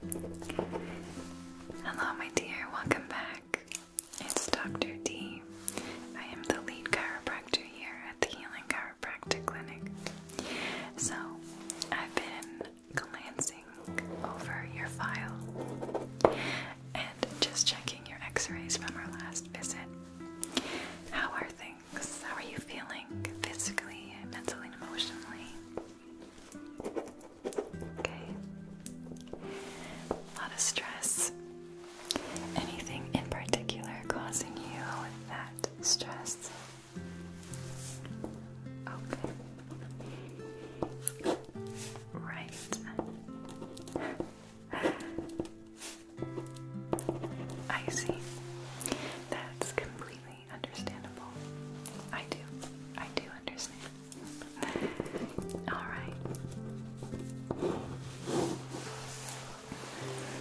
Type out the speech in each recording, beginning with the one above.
Hello, my dear, welcome back. It's Dr. D. I am the lead chiropractor here at the Healing Chiropractic Clinic. So, I've been glancing over your file and just checking your x rays from our last visit. How are things? How are you feeling physically, mentally, emotionally? Okay. A lot of stress. Anything in particular causing you that stress? Okay. Right. I see. That's completely understandable. I do. I do understand. Alright.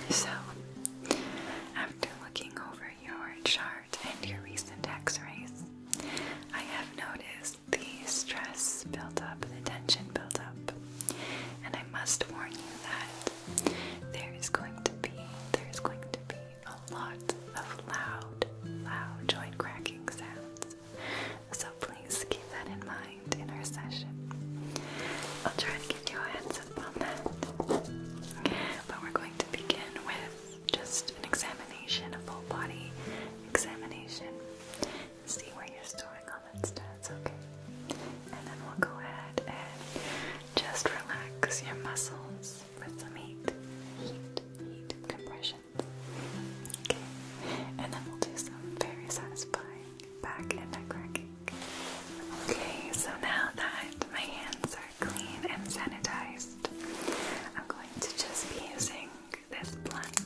So, after looking over your chart and your recent x rays, I have noticed the stress built up, the tension built up. And I must warn you that there is going to be, there is going to be a lot of loud, loud joint cracking sounds. So please keep that in mind in our session. I'll try to give you a heads up on that. But we're going to begin with just an examination, a full body examination. See where you're storing all that stats, okay? And then we'll go ahead and just relax your muscles. With some heat, heat, heat compressions. Okay, and then we'll do some very satisfying back and neck cracking. Okay, so now that my hands are clean and sanitized, I'm going to just be using this blunt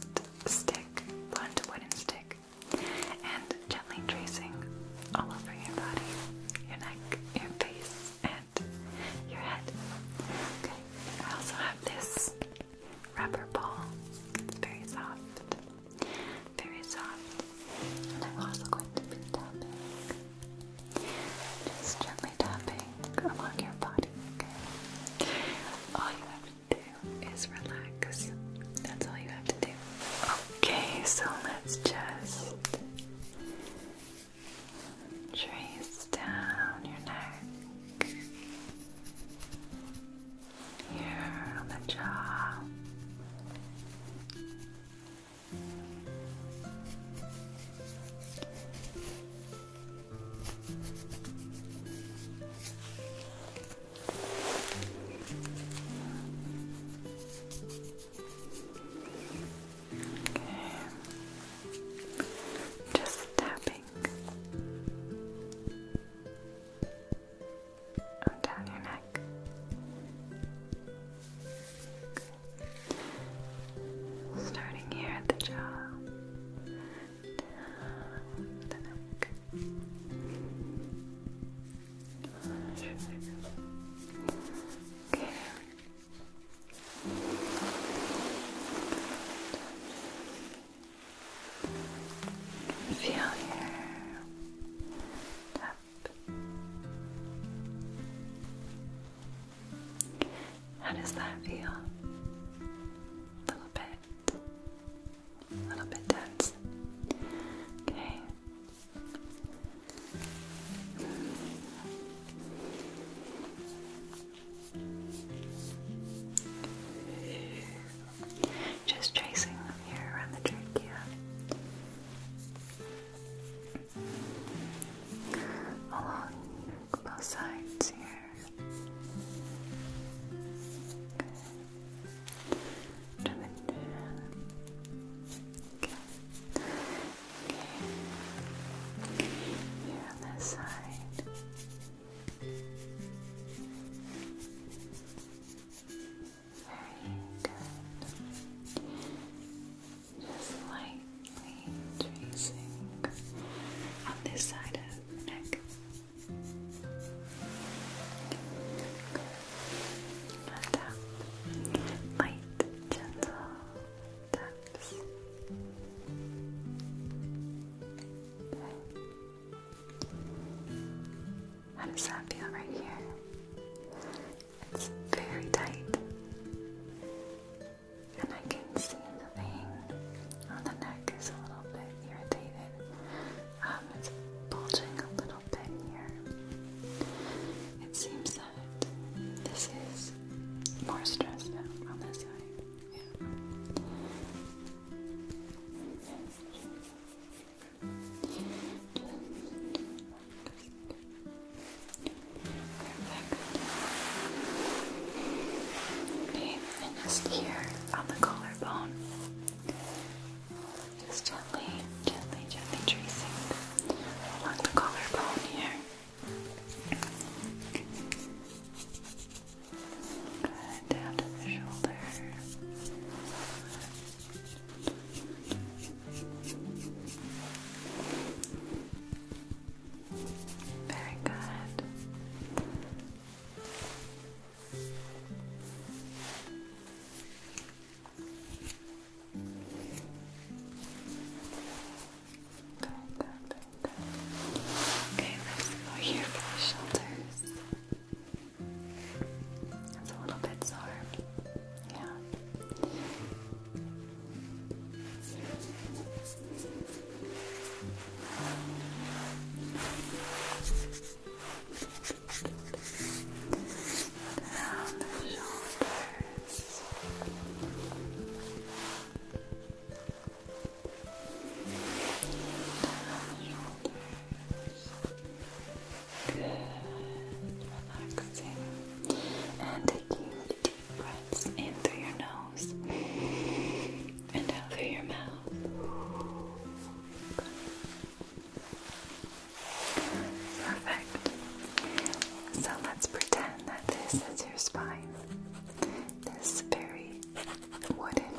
stick, blunt wooden stick, and gently tracing all over your body, your neck, your face, and your head. Okay. I also have this rubber ball. It's very soft. Very soft. And I'm also going to be tapping. Just gently tapping along your body, All you have to do is relax. That's all you have to do. Okay, so let's just Trace down your neck, here on the jaw. Just tapping. Oh, down your neck. Starting here at the jaw. Down the neck. Okay. Feel your tap. How does that feel? A little bit, a little bit tense. Okay. Just tracing them here around the trachea. Along both sides here. Okay. Okay. Here on this side. Very good. Just lightly tracing on this side of neck. Light, gentle tap. How does that feel right here? It's very tight. And I can see the vein on the neck is a little bit irritated. Um, it's bulging a little bit here. It seems that this is more stressed out on this side. Yeah. Perfect. and just here on the collarbone, just gently, gently, gently tracing along the collarbone here. Good, down to the shoulder. Very good. Good. Okay, let's go here for the shoulders. It's a little bit sore. Yeah. Down the shoulders. Good, relaxing. And taking deep breaths in through your nose and out through your mouth. Perfect. So let's pretend that this is your spine this very wooden,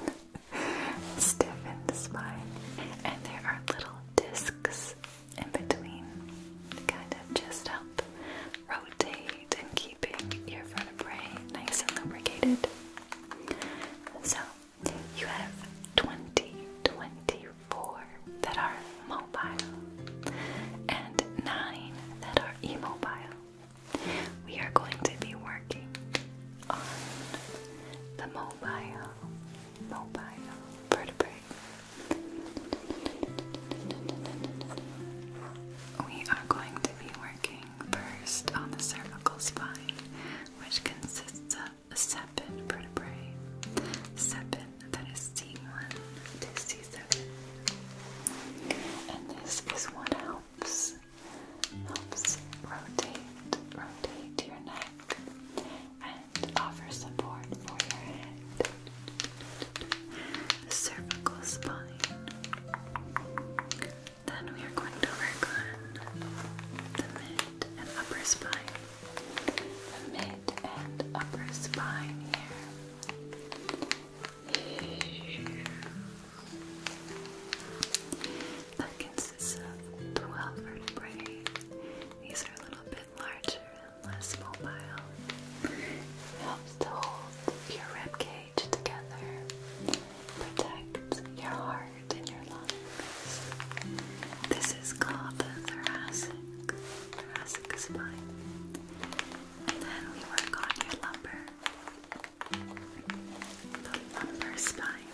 stiffened spine. And there are little discs in between, kind of just help rotate and keeping your vertebrae nice and lubricated. So you have 20, 24 that are mobile and 9 that are immobile we are going to be working on the mobile, mobile vertebrae. We are going to be working first on the cervical spine, which consists of seven vertebrae. Seven, that is C1 to C5. And this is what helps helps rotate rotate your neck and offer support for your head. The cervical spine. Then we are going to work on the mid and upper spine. The mid and upper spine here. That consists of 12 vertebrae. These are a little bit larger and less mobile. helps to hold your rib cage together, protects your heart and your lungs. This is called the thoracic, thoracic spine. And then we work on your lumbar, the lumbar spine,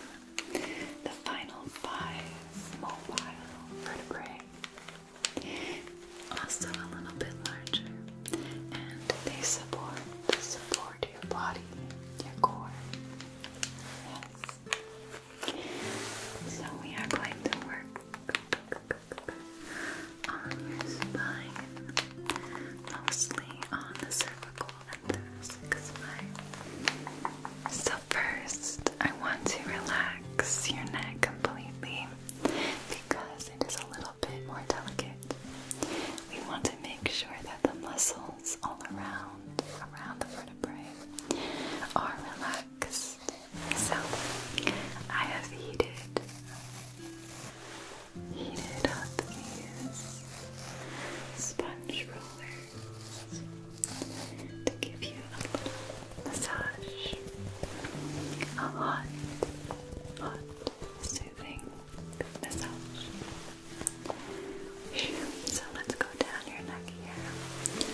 the final five mobile vertebrae. Also a little bit larger, and they support support your body, your core. Yes. So we are going to work mostly on the cervical and thoracic spine. So first, I want to relax your neck completely because it is a little bit more delicate. We want to make sure that the muscles all around, around the vertebrae, are relaxed. So I have heated heated up these sponge rollers to give you a little massage, a hot, hot, soothing massage. So let's go down your neck here.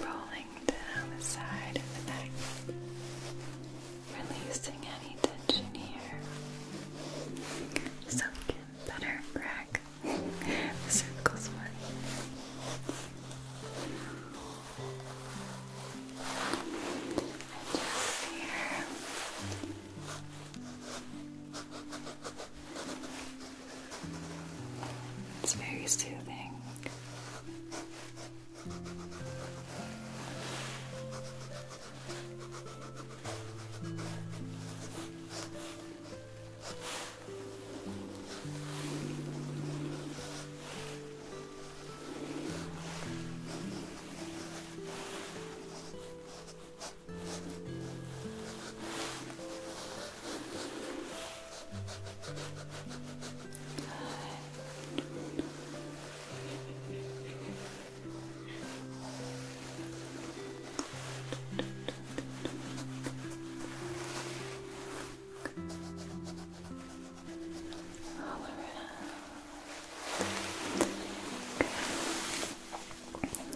Rolling down the side of the neck, releasing any tension here so we can better crack the circles one. just here, it's very soothing. All around. Okay.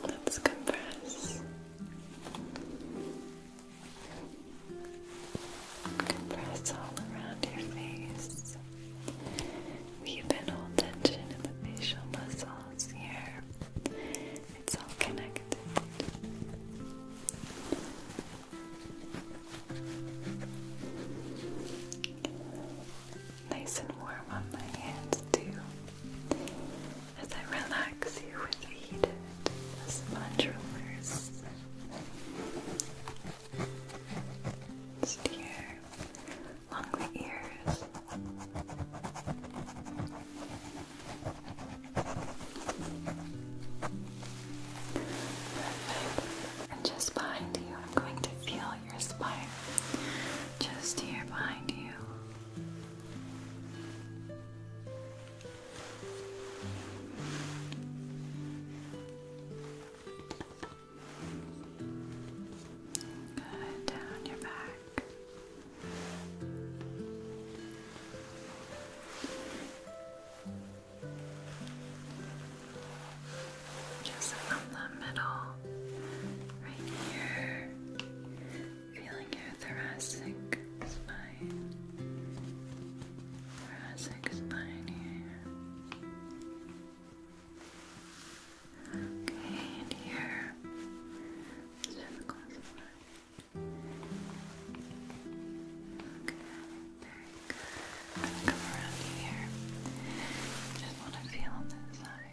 Let's compress. Compress all around your face. Weaven all tension in the facial muscles here. It's all connected nice and warm on my hands too. As I relax you with heated sponge rollers. Just here, along the ears. And just behind you, I'm going to feel your spine. Just here behind you. Good, down your back. Just from the middle, right here. Feeling your thoracic spine. Thoracic spine here. Okay, and here. Cervical spine. Okay, very good. Come around here. Just want to feel this side.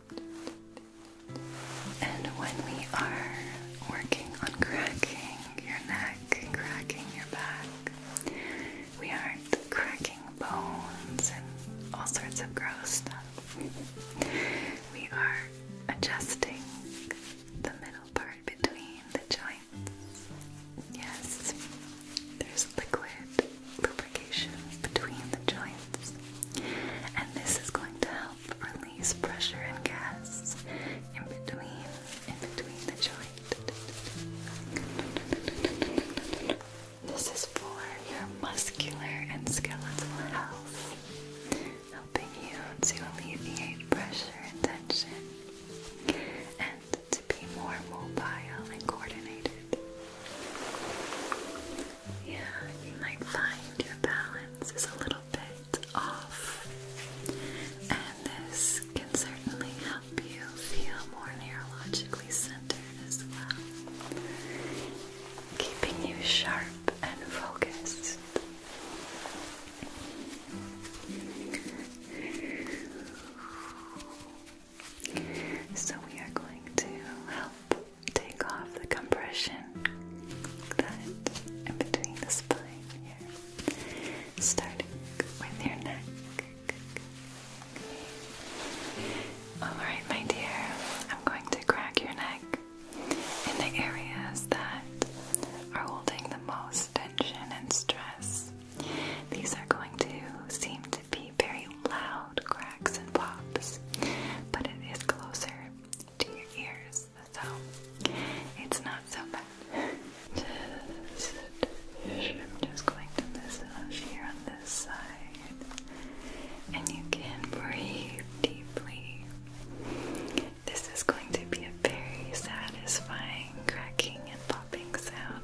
And when we are working on cracking your neck, cracking your back, we aren't cracking bones and all sorts of gross stuff. we are adjusting the middle part between the joints. Yes, there's liquid lubrication between the joints, and this is going to help release pressure and gas in between, in between the joint. This is for your muscular and skeletal health, helping you to alleviate pressure and tension, and to be more mobile and coordinated. Yeah, you might find your balance is a little bit off, and this can certainly help you feel more neurologically centered as well, keeping you sharp and focused. So, we are going to help take off the compression that in between the spine here, starting with your neck. Alright, my dear, I'm going to crack your neck in the areas that are holding the most tension and stress. These are going to seem be very loud cracks and pops, but it is closer to your ears, so it's not so bad. Just, I'm just going to massage here on this side, and you can breathe deeply. This is going to be a very satisfying cracking and popping sound,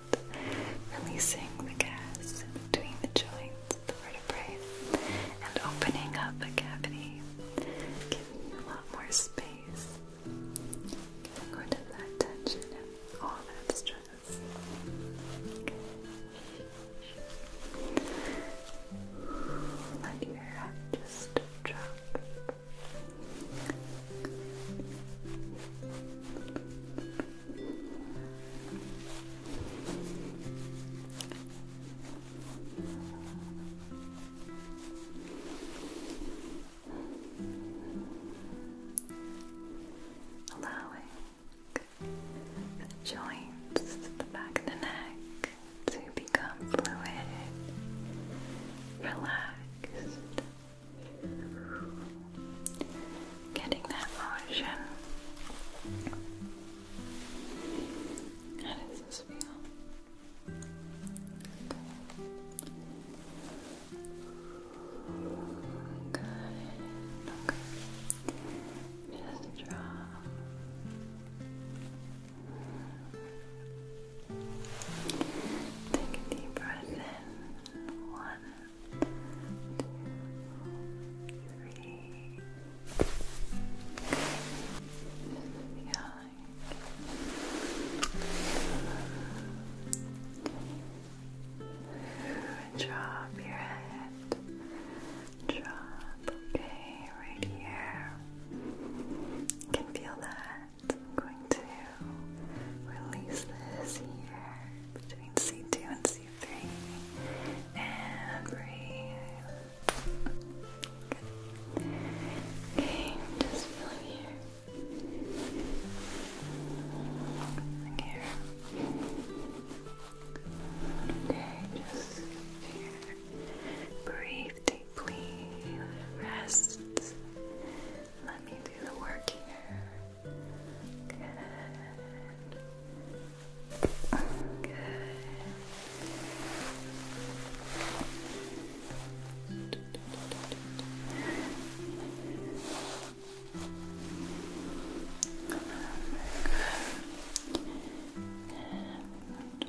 releasing the gas between the joints, and opening up the cavity, giving you a lot more space. Getting rid of that tension and all that stress. Let your head just drop allowing the joints at the back of the neck to become fluid, Relax. getting that motion how does this feel? Good. Okay. Just draw. Take a deep breath in. One, two, three. Drop your head. Drop, okay, right here. You can feel that. I'm going to release this here between C2 and c two, three, and breathe. Okay, just feeling here. here. Okay, just here. Breathe deeply. Rest. Let me do the work here. Good. Good. And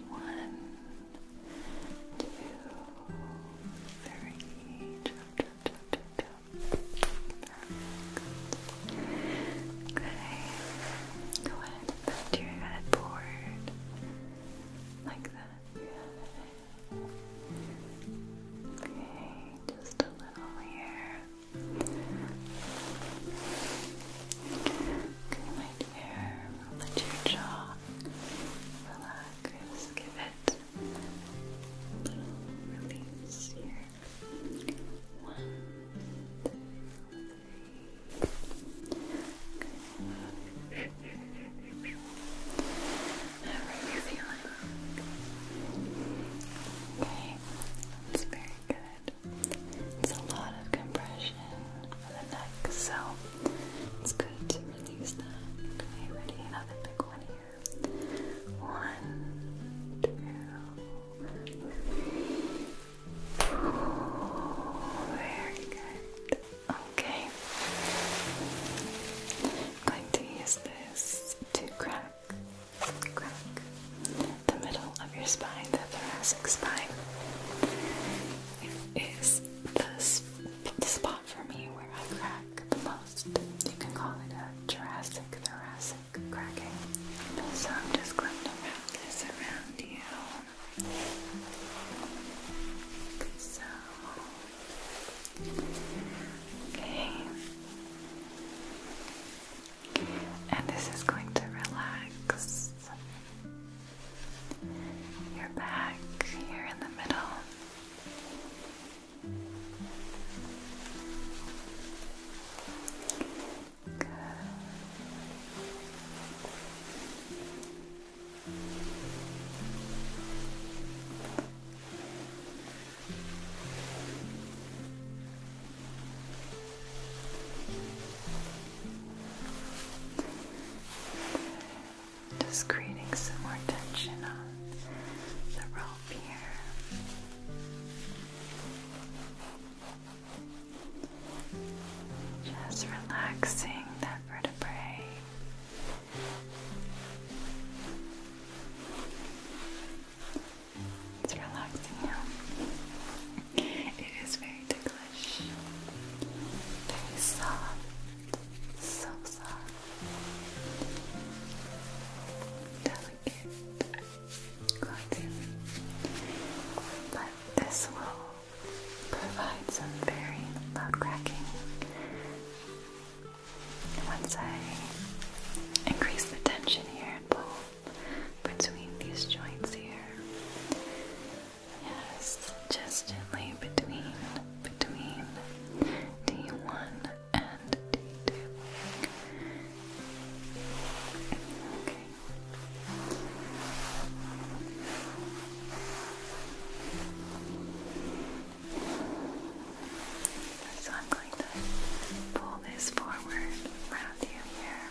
one, two, three, Good. Good. your head Like that. Okay, just a little here. Good, my dear. your jaw relax. Give it a little release here. One, two, three. How are you feeling? Okay, that's very good. It's a lot of compression for the neck, so it's good to release that. Okay, ready? Another big one here. One, two, three. Very good. Okay. I'm going to use this to crack, crack the middle of your spine, the thoracic spine. Is the, spot for me where I crack the most. You can call it a thoracic thoracic so I'm just going to wrap this around you. Okay. And this is going to relax your back here in the middle. Just creating some more tension on the rope here. Just relaxing that vertebrae. It's relaxing now. It is very ticklish, very soft, so soft, delicate delicate but this will provide some very loud cracking. Once I increase the tension here and pull between these joints here, yes, just gently between, between D1 and D2. Okay, so I'm going to pull this forward around you here.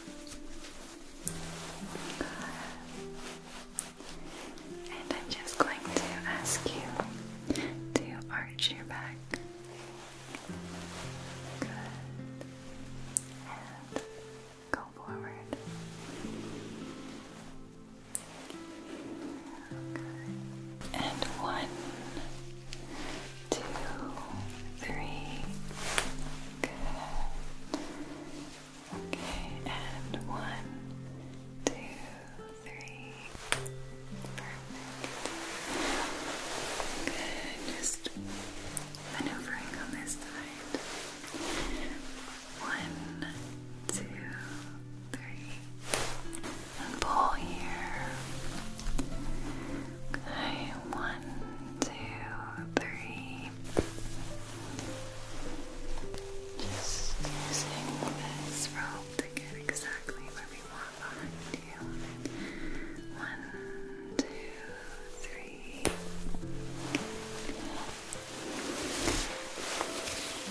And I'm just going to ask you to arch your back. Good. And go forward. Good. And one, two, three. Good. Okay, and one, two, three. Perfect. Good. Just maneuvering on this side. One, two, three. And pull here. Okay, one, two, three. Just using this rope to get exactly where we want behind you. One, two, three.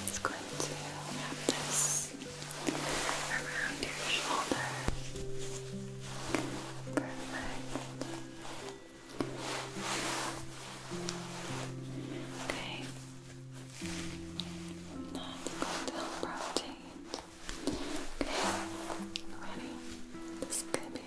It's going to wrap this around your shoulder. Perfect. Okay. Now it's going to Okay. Ready? This is going to be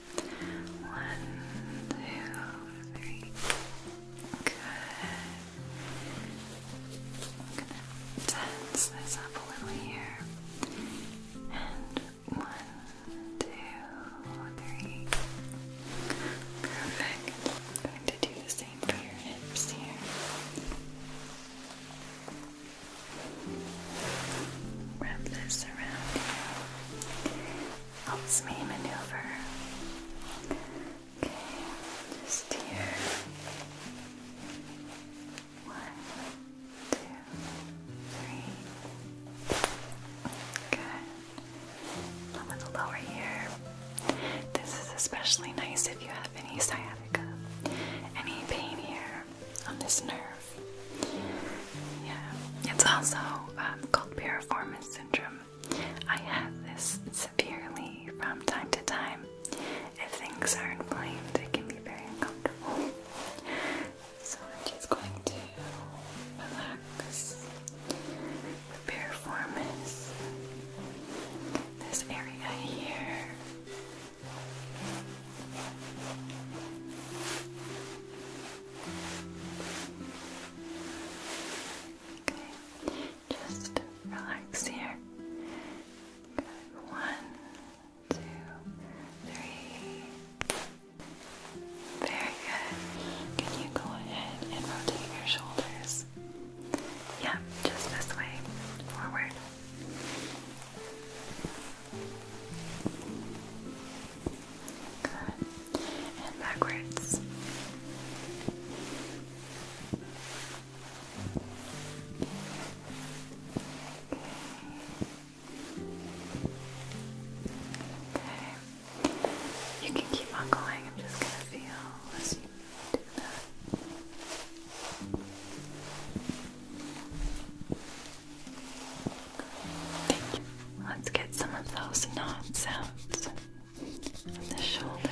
One, two, three. Good. I'm gonna tense this up a little here. And one, two, three. Perfect. I'm going to do the same for your hips here. Wrap this around Helps me maneuver. Okay, just here. One, two, three. Good. A little lower here. This is especially nice if you have any sciatica, any pain here on this nerve. Yeah, it's also um, called piriformis syndrome. I have this severely from time to time. If things are inflamed, it can be very uncomfortable. So I'm just going to relax the piriformis, this area here. Okay, just relax here. Good. One, two, three. Very good. Can you go ahead and rotate your shoulders? Yeah, just this way. Forward. Good. And backwards. Okay. You can keep on going. I'm just gonna feel as you do that. Let's get some of those knots out on the shoulders.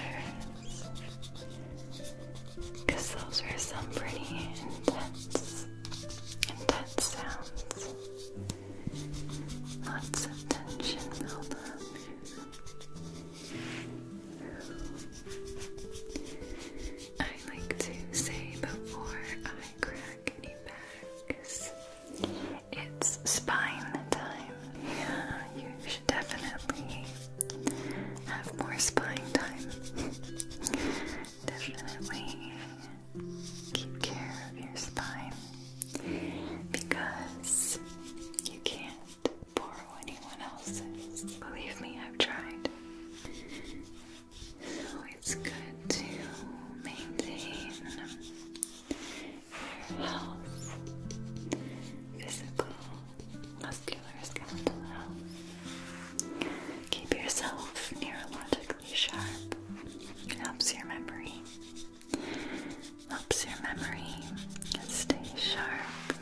Because those were some pretty intense, intense sounds. Lots of tension built up. I like to say before I crack any packs, it's spine time. Yeah, you should definitely have more spine time. definitely keep care of your spine because you can't borrow anyone else's. Believe me, I've tried. So it's good to maintain your health, physical, muscular, skeletal health. Keep yourself neurologically sharp. It helps your memory. Helps your memory stay sharp.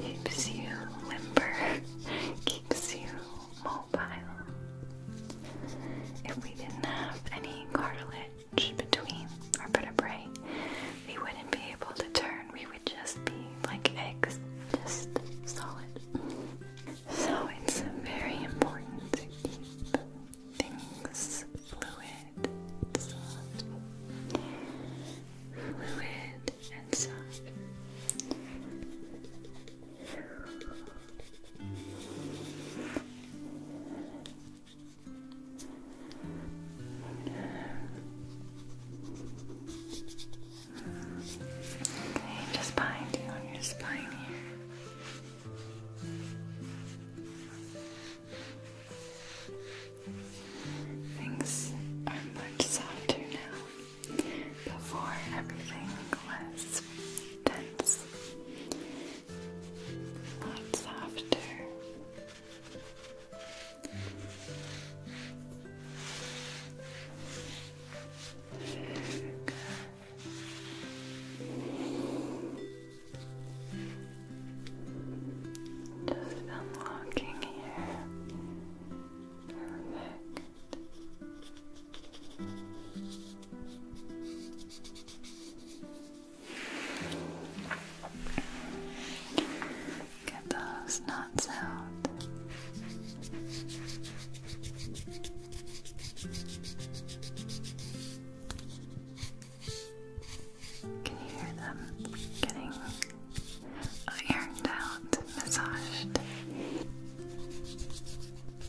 Keeps you limber, keeps you if we didn't have any cartilage between our vertebrae, we wouldn't be able to turn. We would just be like eggs, just solid. So it's very important to keep things fluid, soft. Fluid and soft. Okay, just behind you on your spine here. Things are much softer now before everything was tense. Lots after. Good. Just unlocking here. Get those knots out. Can you hear them getting ironed out, massaged?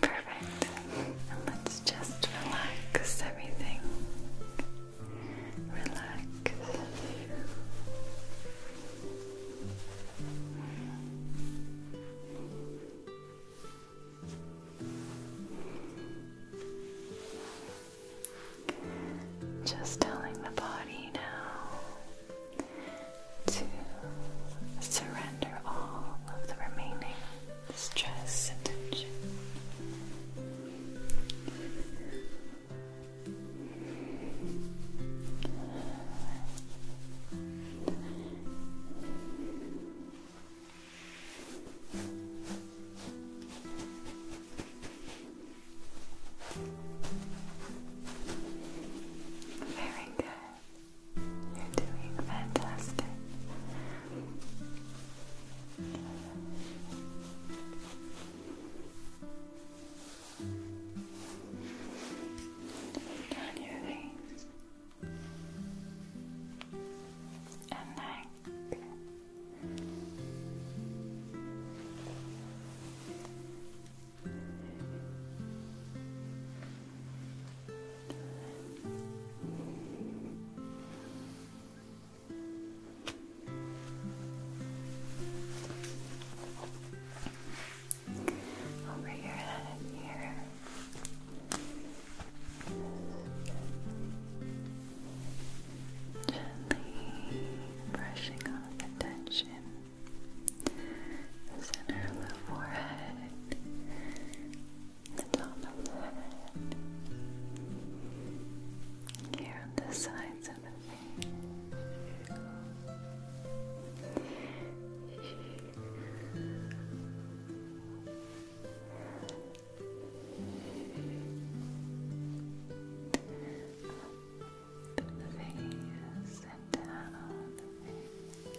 Perfect. let's just relax everything. Relax. Just telling the body now to surrender all of the remaining stress and tension. Very good. You're doing fantastic. Down your face and neck. Over your here. Gently brushing off the center of the forehead the top here on the sides of the face. Up the face and down the face.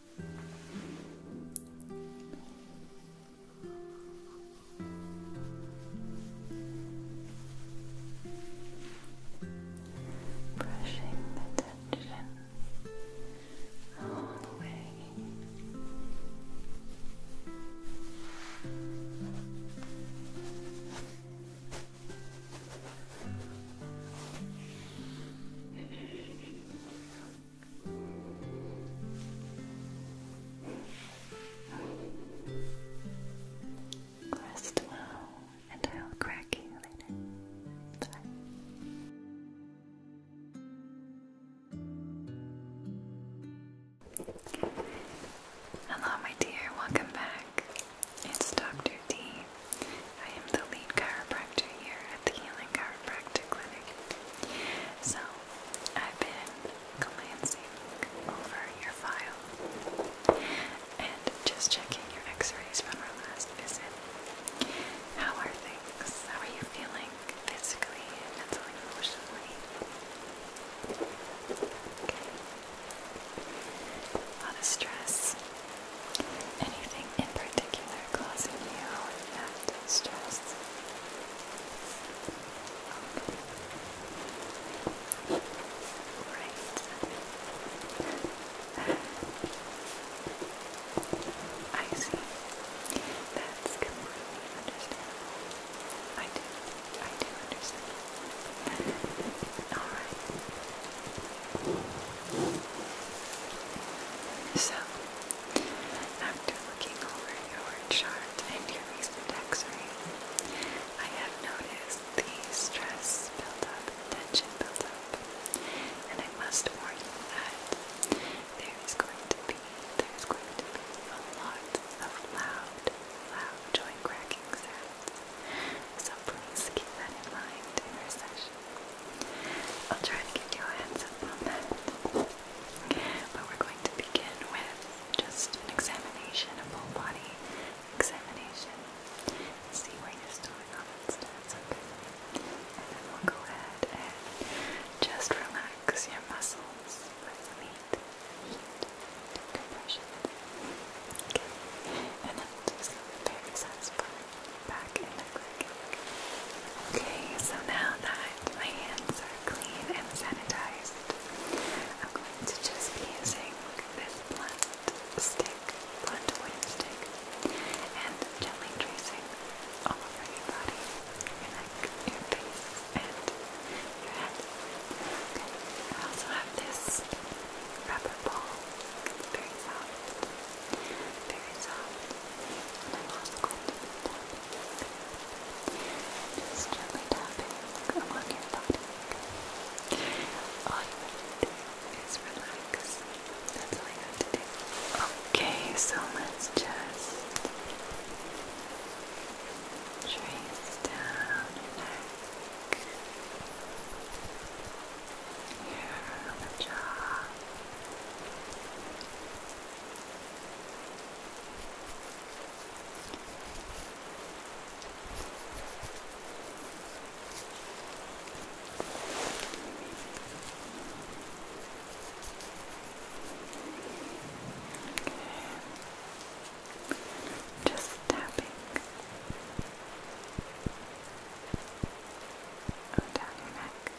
Brushing the tension all the way. Rest well, and I'll crack you later. Bye. Hello, my dear. Welcome back. It's Dr. D. I am the lead chiropractor here at the Healing Chiropractic Clinic. So, I've been glancing over your file and just checking your x rays from our last visit. How are things? How are you feeling physically, mentally, emotionally? Okay. A lot of stress. Anything in particular causing you that stress? Okay. I see. That's completely I do. I do understand. Alright. So, after looking over your chart and your recent x-ray, I have noticed the stress built buildup, tension up, and I must warn you that there is going to be, there is going to be a lot of loud, loud joint cracking sounds. So please keep that in mind in our session. I'll try to give you a heads up on that. But we're going to begin with just an examination, a full body examination. See where you're still in common stance, okay? And then we'll go ahead and just relax your muscles with heat, compression. Okay. And that will very satisfying Okay, so now that my hands are clean and sanitized, I'm going to just be using this blunt stick, blunt wooden stick, and gently tracing all over your body, your your face, and your head. I also have this rubber ball. It's very soft very soft. And i just gently tapping along your body. All you have to do is relax. That's all you have to do. Okay, so let's just down your neck. Here on Okay. Just tapping. down your neck.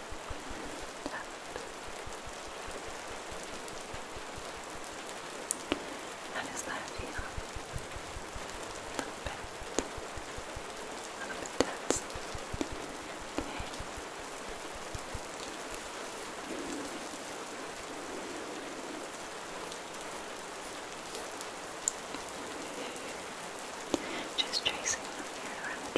How does that feel? A little bit. A little bit tense. Just tracing your hair around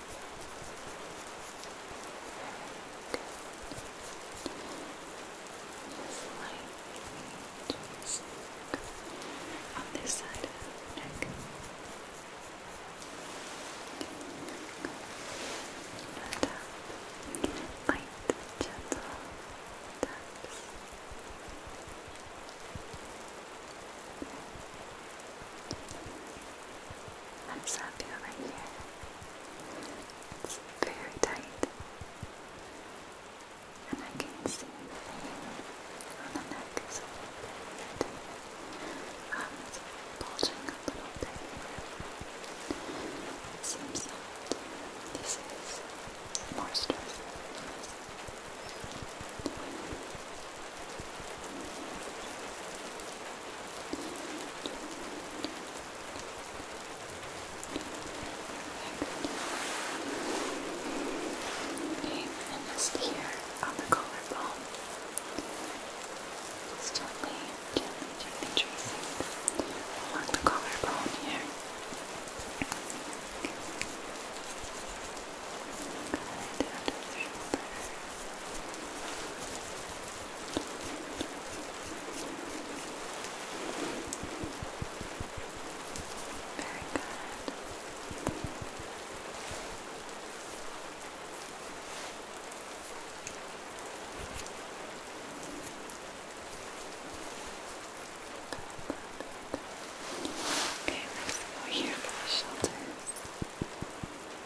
just on this side of the neck. Light, gentle taps. That's how I right here. It's very tight. And I can see the vein on the neck is a little bit. Um, it's bulging a little bit It seems that this is more stressful Okay, and just here on the collarbone. Just gently, tracing along the collarbone here. Okay, let's go here for the shoulders.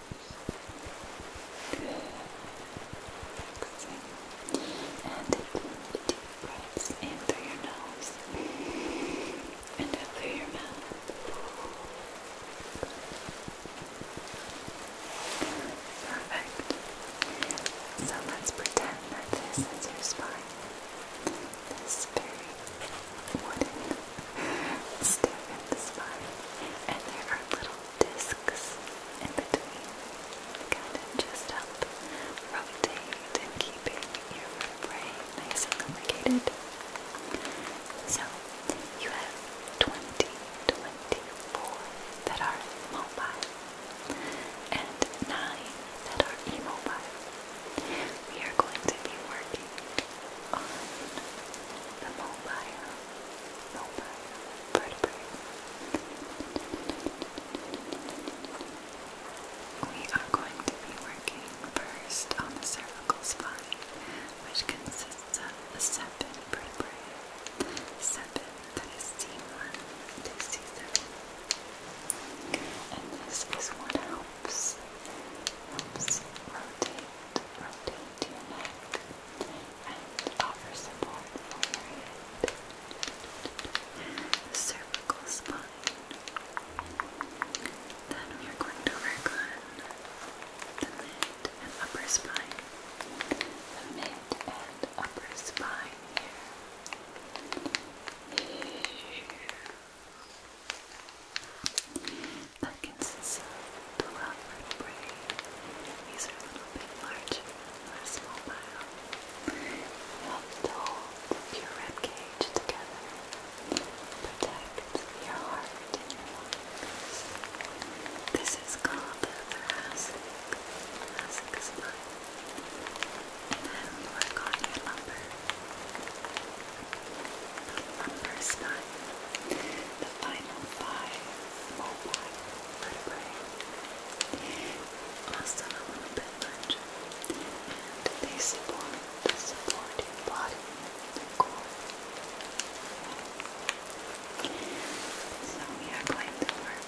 Good. And take deep breaths in through your nose and out through your mouth. Perfect. So let's pretend that this is your spine. This very wooden stiff in the spine. And there are little discs in between, kind just help and keeping your vertebrae nice and So you have 20, that are mobile and 9 that are immobile. We are going to be working on the mobile over vertebrae. We are going to be working first on the cervical spine, which consists of seven vertebrae. Seven, that is C1 And this is what helps, helps rotate, rotate your neck and offer support Cervical spine. Then we are going to work on the mid and upper spine. The mid and upper spine here. Here that consists of 12 little braids. These are little bit larger than our small You hold your rib cage together. Protect your heart and your lungs. This is called the thoracic, thoracic spine. then you work on your lumbar. The lumbar The final five pretty brain. Last time I went a bit lunch, and they support the supporting body and core. So yeah, claim the work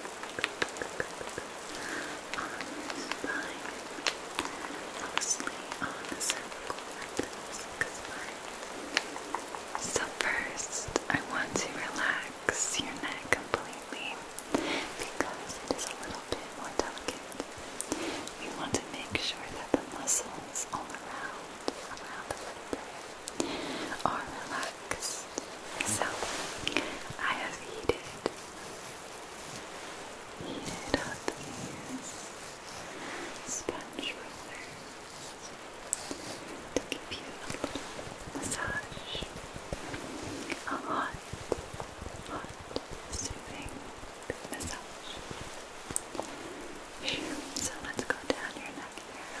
on the spine, mostly on the cervical because my so, first, I want to relax your neck completely because it is a little bit more delicate. We want to make sure that the muscles all around, around the vertebrae are relaxed. So, I have heated, heated up these sponge rollers to give you a little massage, a hot, hot, soothing massage. So let's go down your neck here.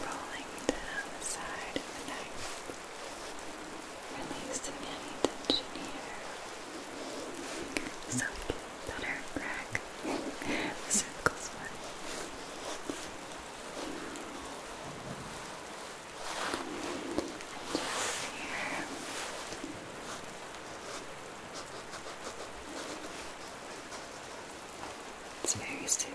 Rolling down the side of the knife. Releasing any tension here. So we can better crack the circles one. And just here. Just it's very soothing.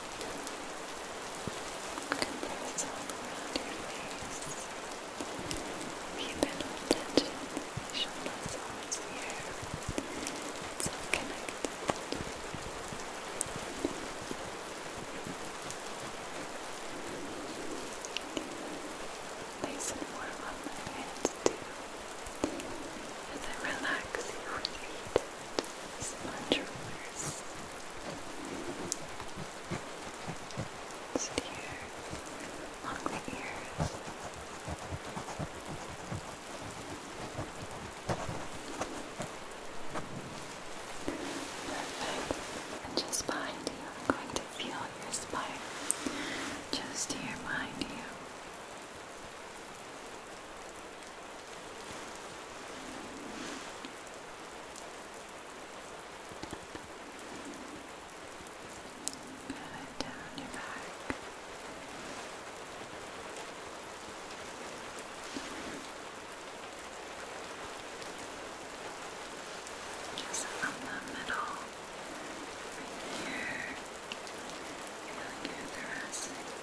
Compress all around your face. Regional tension, facial muscles here. It's all connected. Nice and warm on the hands too. As I relax your feet. It's much worse. Just ears. Perfect. And just behind you, I'm going to feel your spine. Just here behind you. Good, down your back. Just on the middle, right here, feeling your thoracic spine.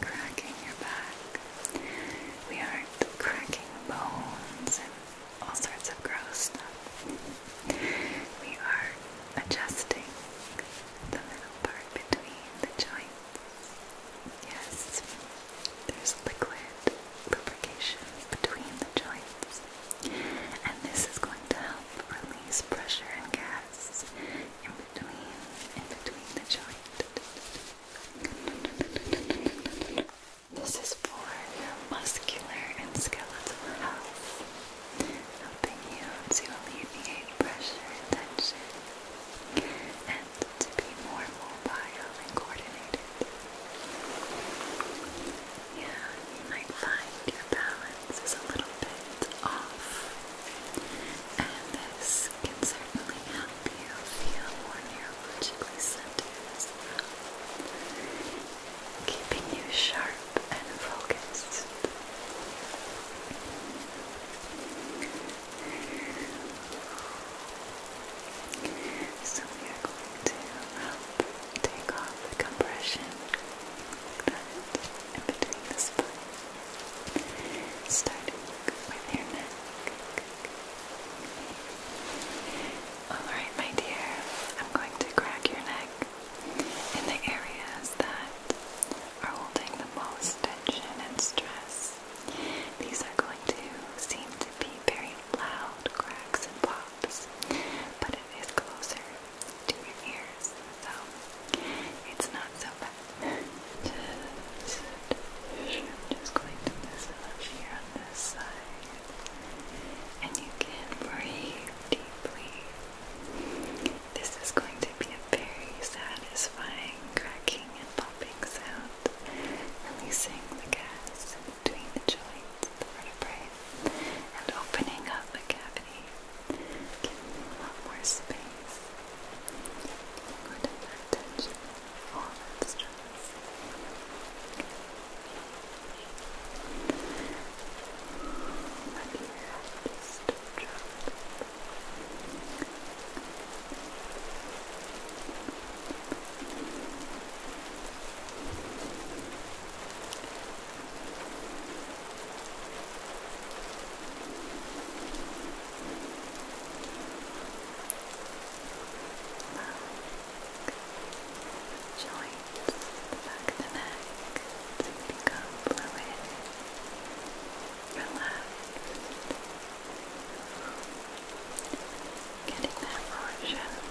cracking your back. We aren't cracking bones and all sorts of gross stuff. We are adjusting the middle part between the joints. Yes, there's liquid lubrication between the joints. And this is going to help release pressure and gas in between, in between the joint. This is for your muscular and skeletal health, helping you to alleviate pressure and tension, and to be more mobile and coordinated. Yeah, you might find your balance is a little bit off and this can certainly help you feel more neurologically centered as well, keeping you sharp and focused. So we are going to take off the compression like that the spine starting with your neck. Alright, my dear, I'm going to crack your neck in the areas that are holding the most tension and stress. These are going to seem to be very loud cracks and pops, but it is closer to your ears, so it's not so bad. Just, I'm just going to this it up here on this side. And you can breathe deeply. This is going to be a very satisfying cracking and popping sound, releasing the gas between the joints, the vertebrae, and opening up the cavity, giving you a lot more space. Put attention all that stress. just joints the back of the neck become fluid, relaxed, getting that portion and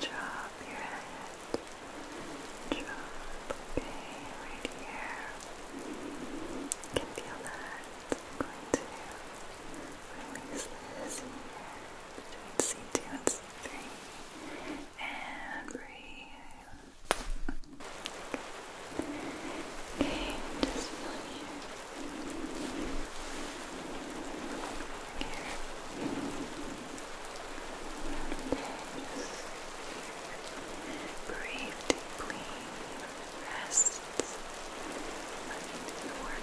Drop your head. Drop. Okay, right here. You can feel that. going to release this 2 and 3 And breathe. Okay, just feel here. Breathe deeply, rest. Let me do work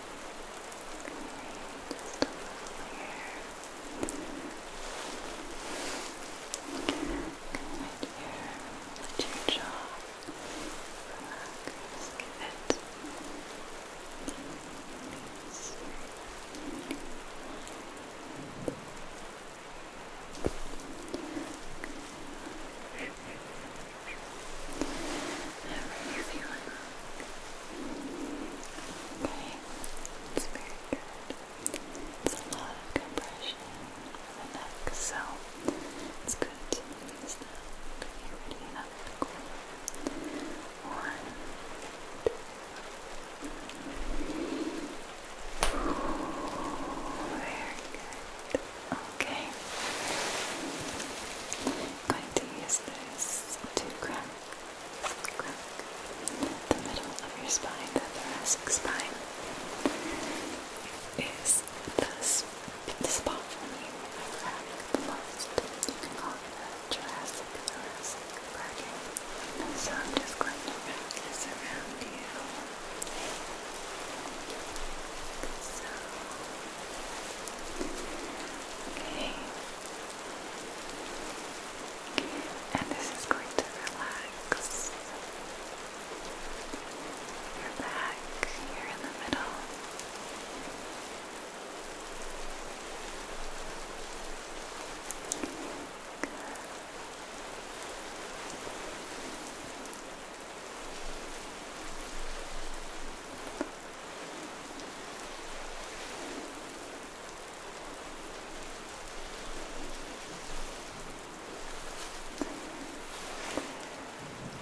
Just a little here. Right here. Let your jaw relax. Give it release. Good. How are you feeling? Okay, it's very good. It's a lot of compression in the neck, so it's good to use that. you One, two. Very good. Okay. going to use this to crack, crack the middle of your spine, the thoracic spine. Is the spot for me where crack the the thoracic, thoracic So I'm just going to wrap this around you. Okay. And this is going to relax your back here in the middle.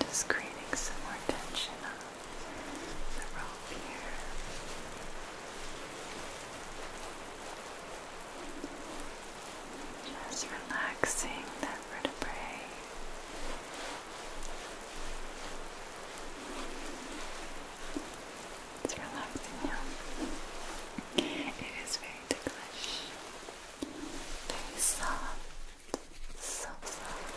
Just creating some more tension on the rope here. Just relaxing that vertebrae. It's relaxing now. It is very ticklish. Very soft. So soft.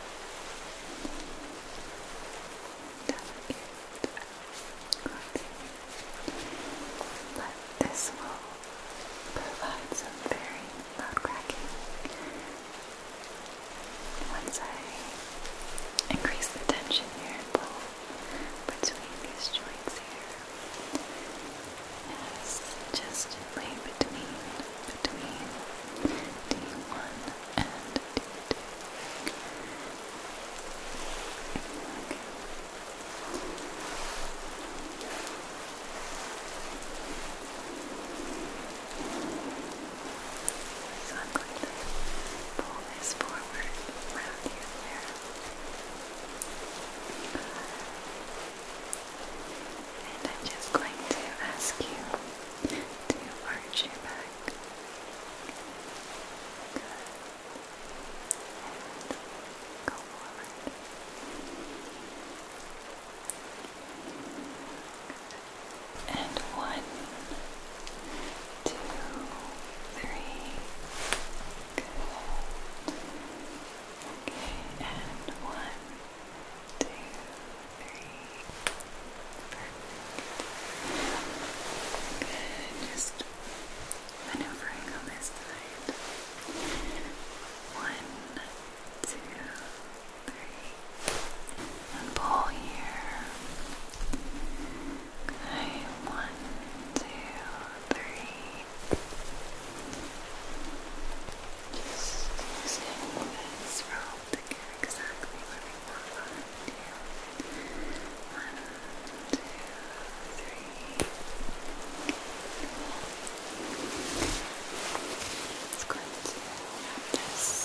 But this will provide some very loud cracking once I increase the tension here and pull between these joints here, as gently between, between D1 and D2. Okay. Okay. So I'm pull this forward around here there. And I'm just going to ask you to arch your back. Good. And go forward and one, two, three. Good. Okay, and one, two, three. Good. Just maneuvering on this side. One, two, and pull here. one, two, three. Just using this rope exactly where we want One, two, three. It's going to wrap this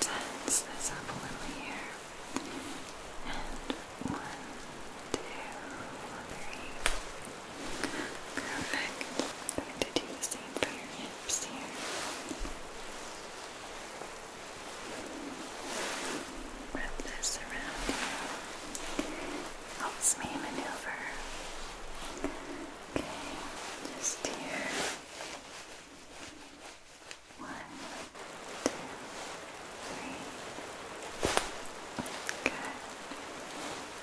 tense this up a little here. And one, two, three. Perfect. I'm going to do the same for your hips here. Wrap this around Helps me maneuver. Okay, just here. One, two, three. Good.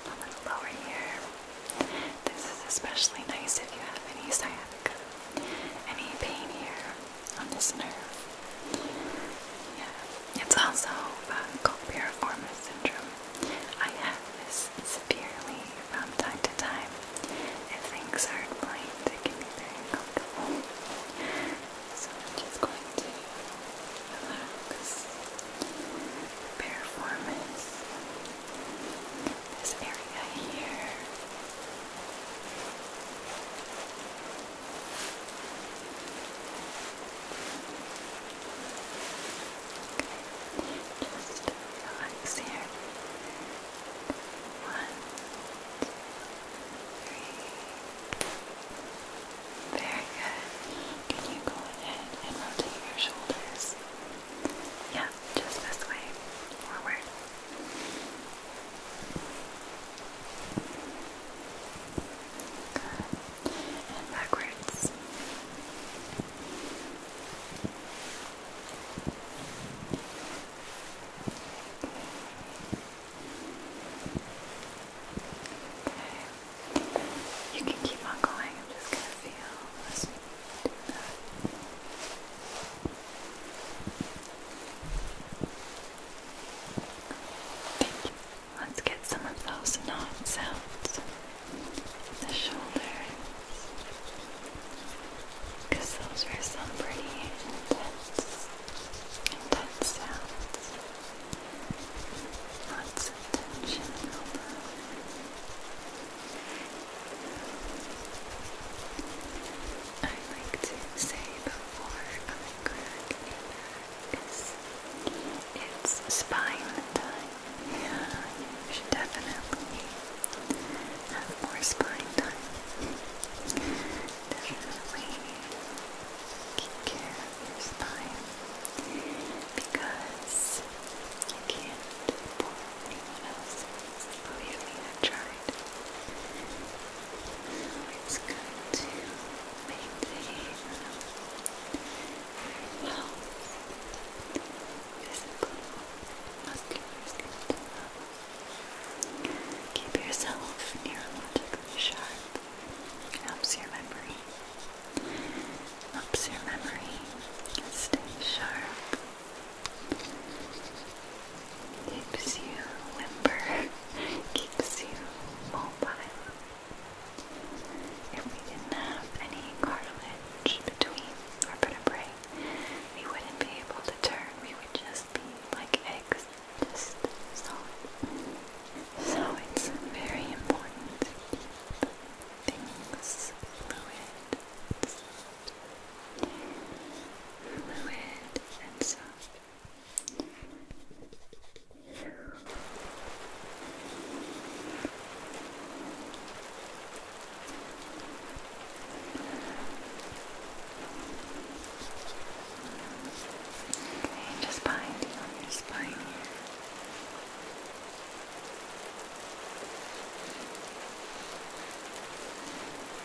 A little lower here. This is especially nice if you have any sciatica, any pain here on this nerve. Yeah, it's also uh, called piriformis syndrome. I have this changes from time to time. If things aren't it can be very uncomfortable. So I'm just going to relax. Performance. This area here. Okay. Just relax here. One, two, three. Very good. Can you go ahead and rotate your shoulders? Yeah, just this way. Forward. Good. And backwards. You can keep on going. I'm just gonna feel as you do that. Let's get some of those knots out. The shoulders because those were some pretty intense, intense sounds. Lots of tension I like to say before I crack a back it's spine time. Yeah, definitely have more spine time. Definitely keep care your spine because you can't pour anyone else's. Believe me, i tried. it's good to maintain um, your health. Keep yourself neurologically sharp. It helps your memory. Helps your memory. Stay sharp. Keeps you limber. Keeps you mobile. If we didn't have any cartilage between, or put a break we wouldn't be able to turn. We would just be like eggs, just solid. So it's very important to keep things fluid, fluid and soft. Okay, just behind you on your spine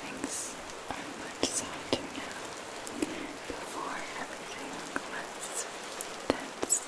Things are much softer now. Before everything was tense.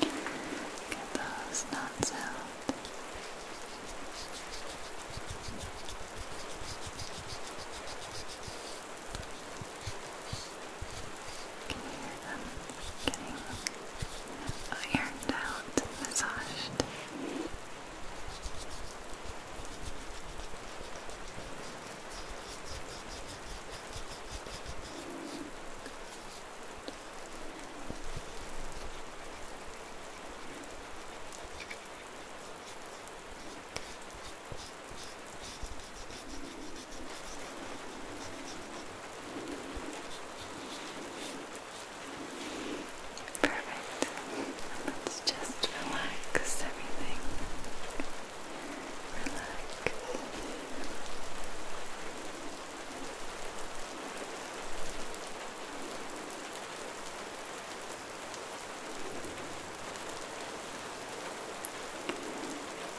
Get those knots out. Can you them getting ironed out, massaged? Um, Perfect. Let's just relax everything.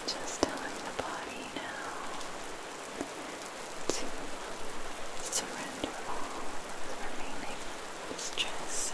Just telling the body now to surrender all the remaining stress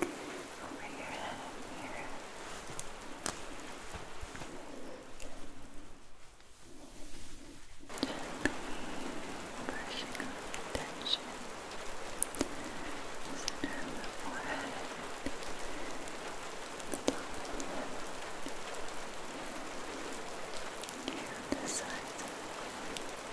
Over your head here. Gently brushing off the tension. Center of the forehead. The top of the head. Here on this side. Here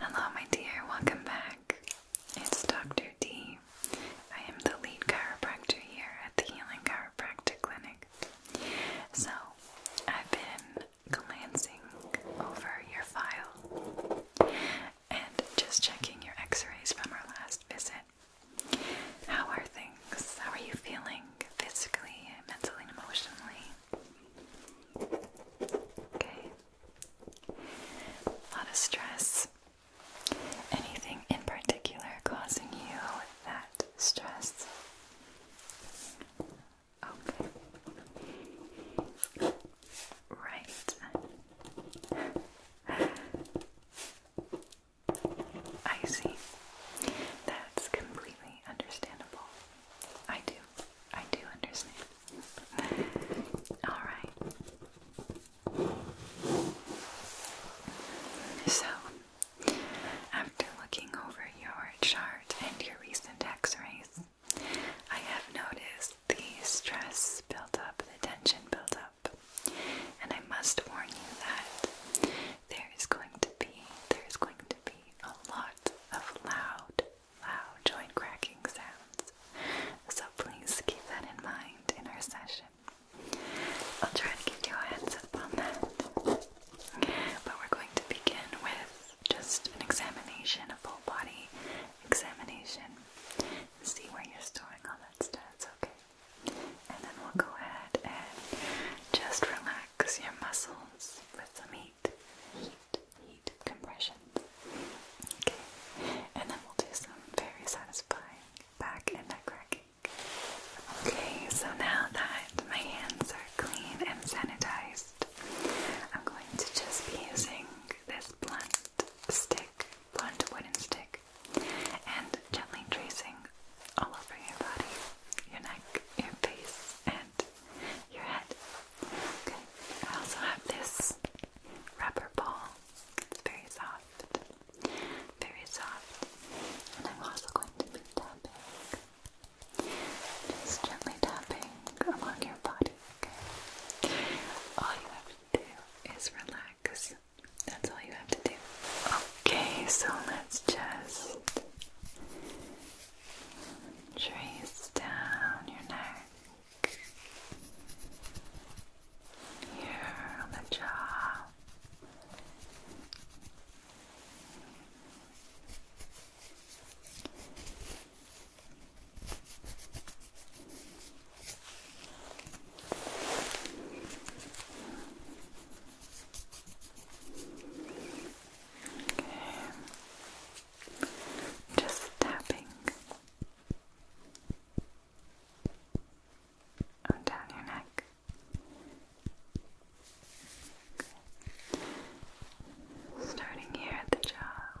Hello, my dear, welcome back. It's Dr. D. I am the lead chiropractor here at the Healing Chiropractic Clinic. So, I've been glancing over your file and just checking your x rays from our last visit. How are things? How are you feeling physically, mentally, and emotionally? Okay. A lot of stress. Anything in particular causing you that stress? Okay. Right. I see. That's completely understandable. I do. I do understand. Alright. So, after looking over your chart and your recent x rays, I have noticed the stress built up, the tension built up, and I must warn you that there is going to be there is going to be a lot of loud, loud joint cracking sounds. So please keep that in mind in our session. I'll try to give you a heads up on that. But we're going to begin with just an examination, a full body examination. See where you're storing all that stuff, okay? And then we'll go ahead and just relax your muscles with some heat, heat, heat compressions. Okay, and then we'll do some very satisfying back and neck cracking. Okay, so now that my hands are clean and sanitized, i I'm going to just be using this blunt stick, blunt wooden stick, and gently tracing all over your body, your neck, your face, and your head. Okay, I also have this rubber ball, it's very soft, very soft, and I'm also going to be tapping. Just gently tapping along your body, okay? All you have to do is relax. That's all you have to do. Okay, so let's just trace down your neck, here on the jaw. Okay. Just tapping. Oh, down your neck. Starting here at the jaw.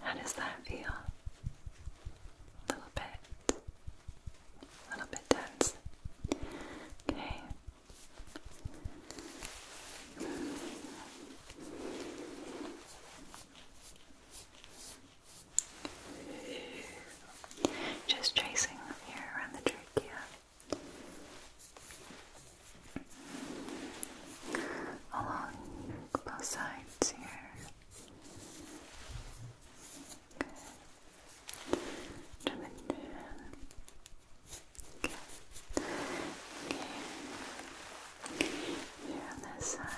How does that feel? A little bit, a little bit tense. Okay. Just tracing here around the trachea. Along both sides parts here. Good. Jump in there. Good. Okay. Here on this side.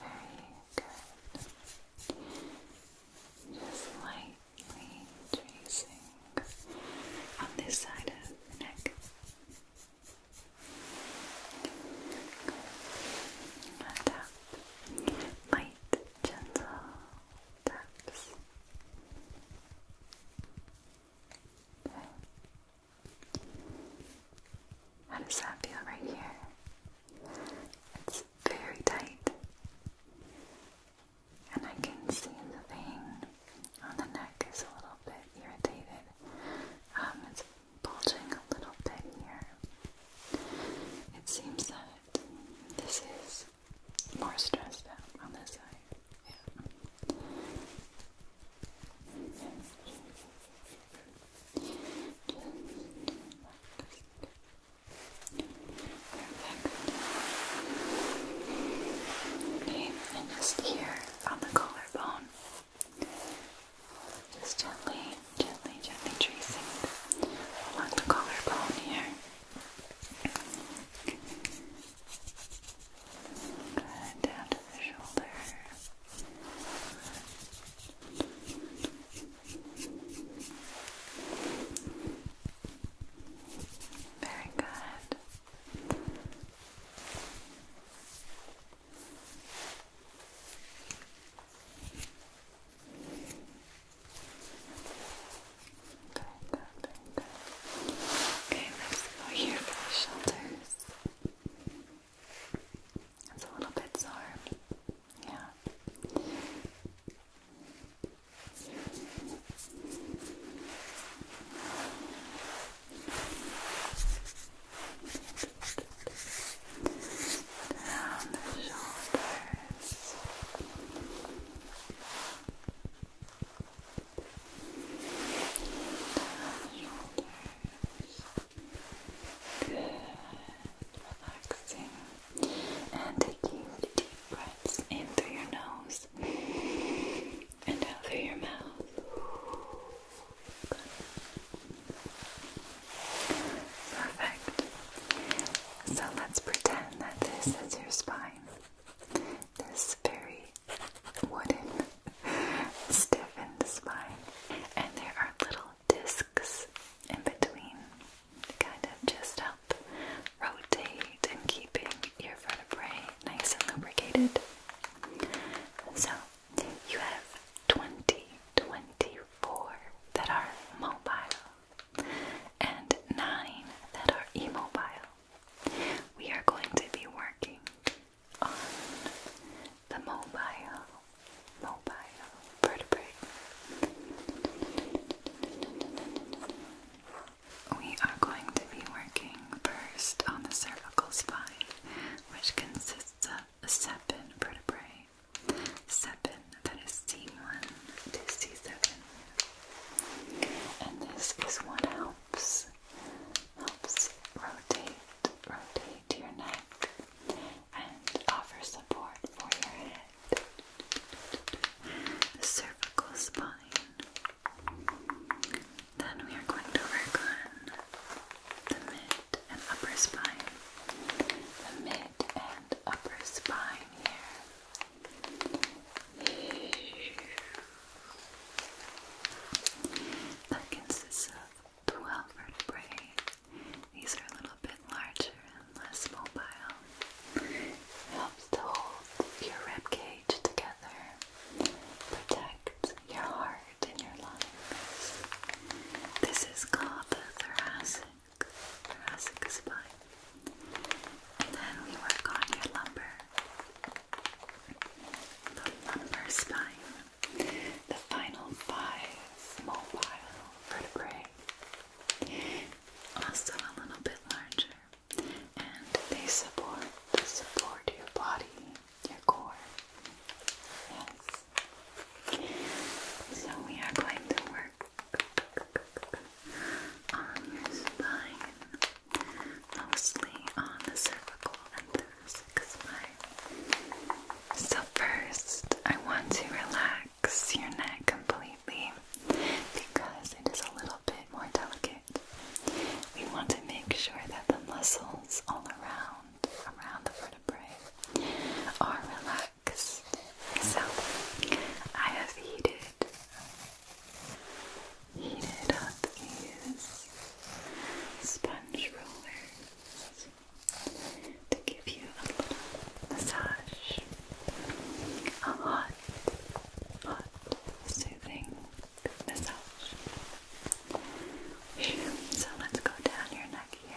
Very good. Just like tracing on this side of the neck. Light, gentle taps. Okay. How does that feel right here? It's very tight and I can see the vein on the neck is a little bit irritated. Um, it's bulging a little bit here. It seems that this is more stressed out on this side. Yeah and just here on the collarbone. Just gently, gently, gently tracing along the collarbone here. down to the shoulder. Very good. Very good, very Okay, let's go here for the shoulders. It's a little bit sore. Yeah. Down the shoulders. Down the shoulders. Good. Relaxing. And taking deep breaths in through your nose and out through your mouth. Perfect. So let's pretend that this is your spine. This very wooden, stiffened spine. And there are little discs in between, kind of just rotate, and keeping your vertebrae nice and lubricated. So, you have 20, that are mobile and 9 that are immobile. We are going to be working on the mobile, mobile vertebrae we are going to be working first on the cervical spine, which consists of seven vertebrae. Seven, that is C1 to C7. And this is what helps helps rotate, rotate your neck and offer support for your head. The cervical spine then we are going to work on the mid and upper spine. The mid and upper spine here. That consists of 12 vertebrae. These are a little bit larger and less mobile to hold your rib cage together, protect your heart and your lungs. This is called the thoracic, thoracic spine. And then we work on your lumbar, the lumbar spine, the final five small vertebrae. Also a little bit larger and they support support your body, your core. Yes. So we are going to work on your spine, mostly on the cervical and sixth spine. So first, I want to relax your neck completely because it is a little bit more delicate we want to make sure that the muscles all around, around the vertebrae, are relaxed. So, I have heated, heated up these sponge rollers to give you a little massage, a hot, hot, soothing massage. So let's go down your neck here.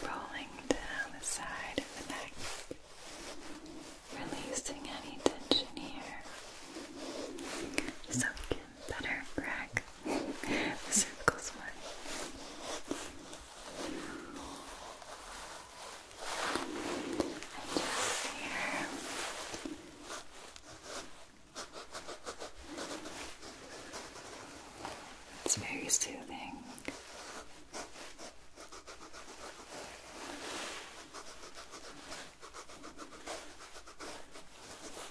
Rolling down the side of the neck, releasing any tension here. So, better crack the circles one. And just here. It's very soothing.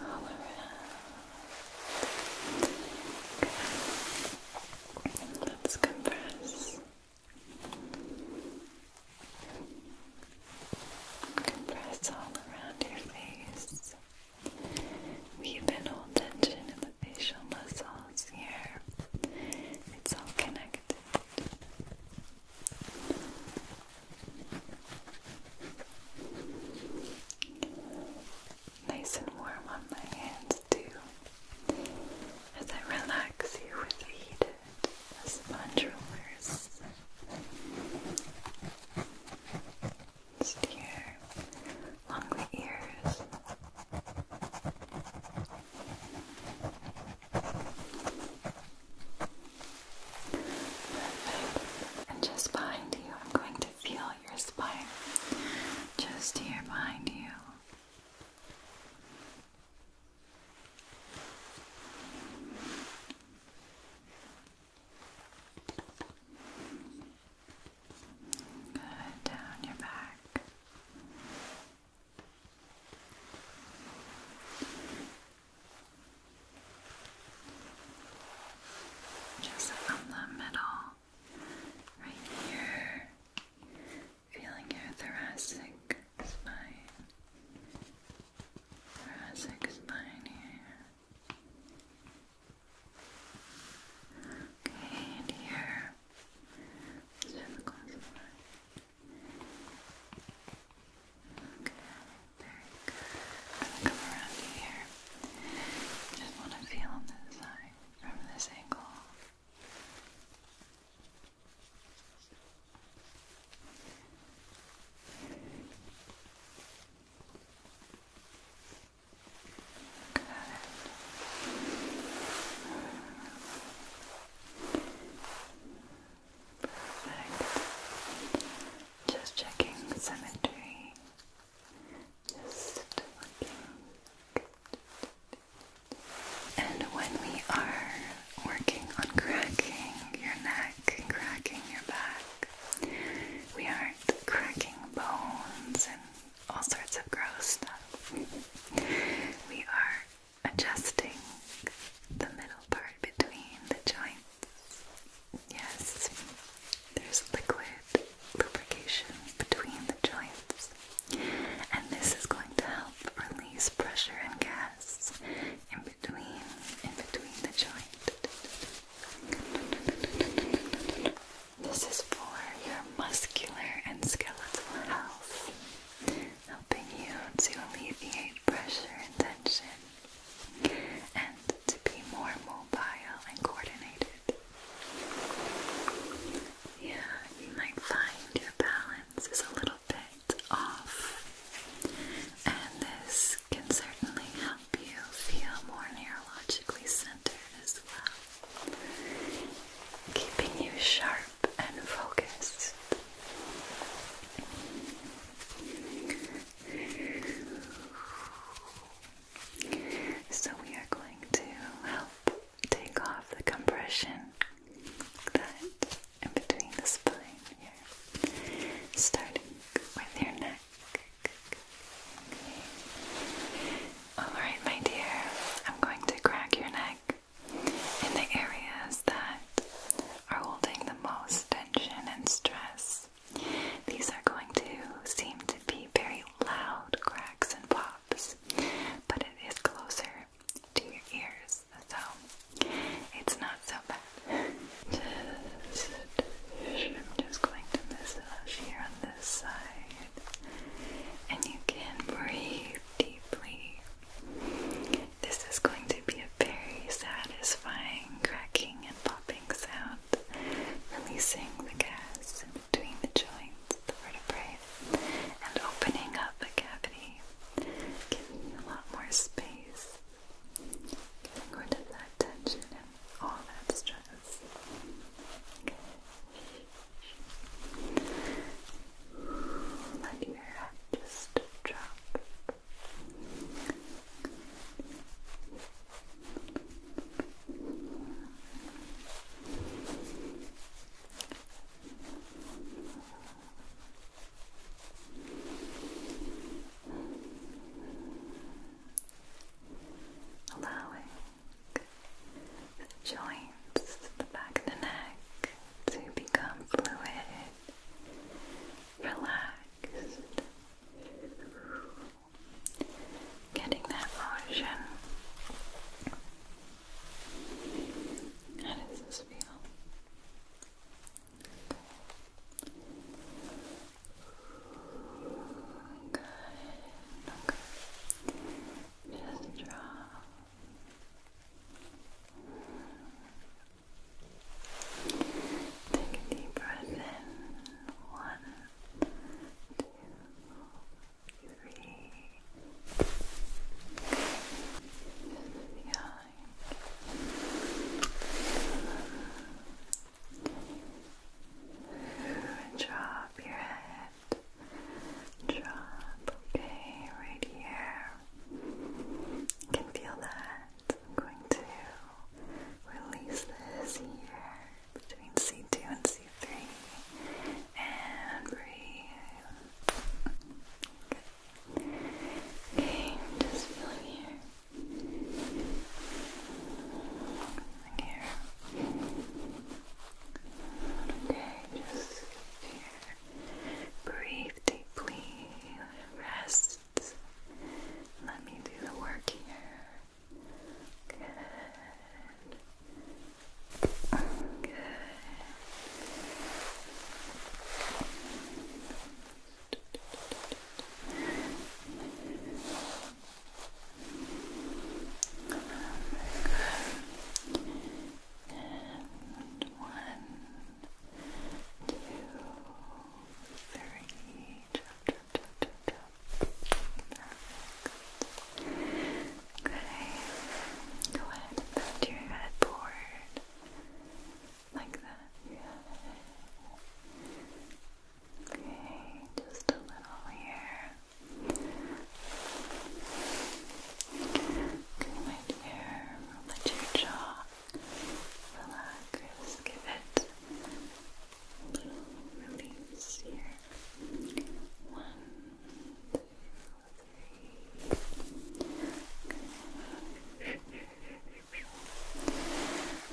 All around. Let's compress. Compress all around your face. We've been tension in the facial muscles cells here. It's all connected. Nice and warm on my hands too. As I relax you with the heated sponge rollers. Just here, along the ears, and just behind you, I'm going to feel your spine. Just here behind you down your back. Just from the middle, right here, feeling your thoracic spine. Thoracic spine here. Okay, and here. Let's the glass on. Okay, very good. I'm gonna come around you here. Just want to feel on this side from this angle. Perfect. Just checking symmetry. Just looking. And when we are working on cracking your neck, cracking your back, we aren't cracking bones and all sorts of gross stuff. We are adjusting the middle part between the joints. Yes, there's liquid lubrication between the joints, and this is going to help release pressure and gas in between, in between the joint. This is for your muscular and skeletal health, helping you to alleviate pressure and tension, and to be more mobile and coordinated. Yeah, you might find your balance is a little bit off, and this can certainly help you feel more neurologically centered as well keeping you sharp and focused. So, we are going to help take off the compression like in between the spine here, starting with your neck. Alright, my dear, I'm going to crack your neck in the areas that are holding the most tension and stress. These are going to seem to be very loud cracks and pops, but it is closer to your ears, so it's not so bad. Just, just going to massage here on this side, and you can breathe deeply. This is going to be a very satisfying cracking and popping sound, releasing the gas in between the joints, of the vertebrae, and opening up the cavity, giving you a lot more space, getting rid of that tension and all that stress. Let your head just drop. Allowing the joints at the back of the neck to become fluid, relaxed, getting that motion. How does this feel? Good. Okay. Just drop Take a deep breath in. One, two, three. Okay. Drop your head drop, okay, right here. can feel that. I'm going to release this here between C2 and C3 and breathe. Okay, just feeling here. here. Okay, just here. Breathe deeply. Rest. Let me do the work here. Good. Good. And one, two, three. Okay. Go ahead and bend your head Like that. Okay, just a little here. Good right there. Let your jaw relax. Give it a little release here. One, two, three.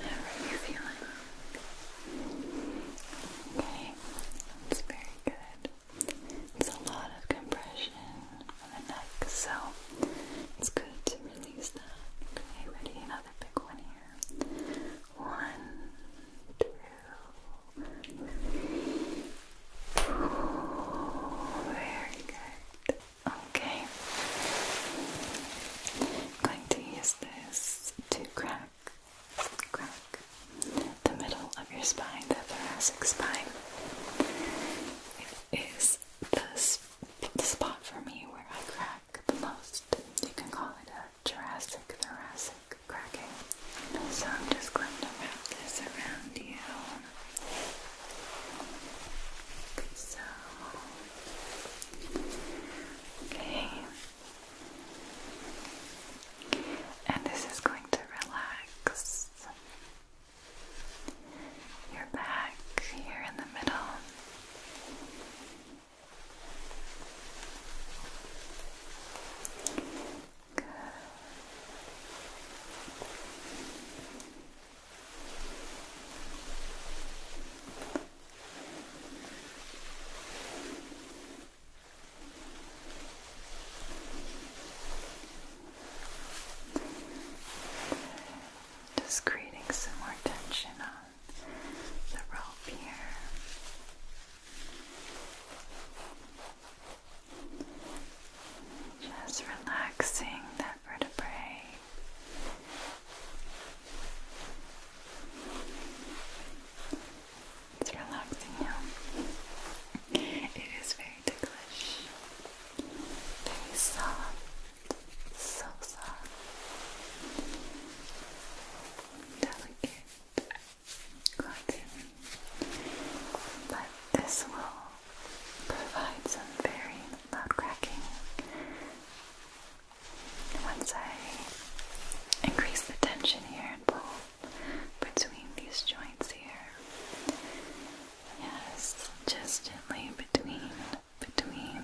How are you feeling? Okay, that's very good. It's a lot of compression on the neck, so it's good to release that. ready? Another big one here. One, very good. Okay. going to use this to crack, the middle of your spine, the thoracic spine. It is the, the spot for me where I crack the most. You can call it a Jurassic thoracic cracking. So I'm just going to wrap this around you. So, okay and this is going to relax your back here in the middle. Good. Just creating some more tension on the rope here. Just relaxing that vertebrae. It's relaxing It is very ticklish. Very soft. So soft. Delicate cotton. But this will provide some very loud cracking. Once I increase the tension here and pull between these joints here. Yes, just gently between, between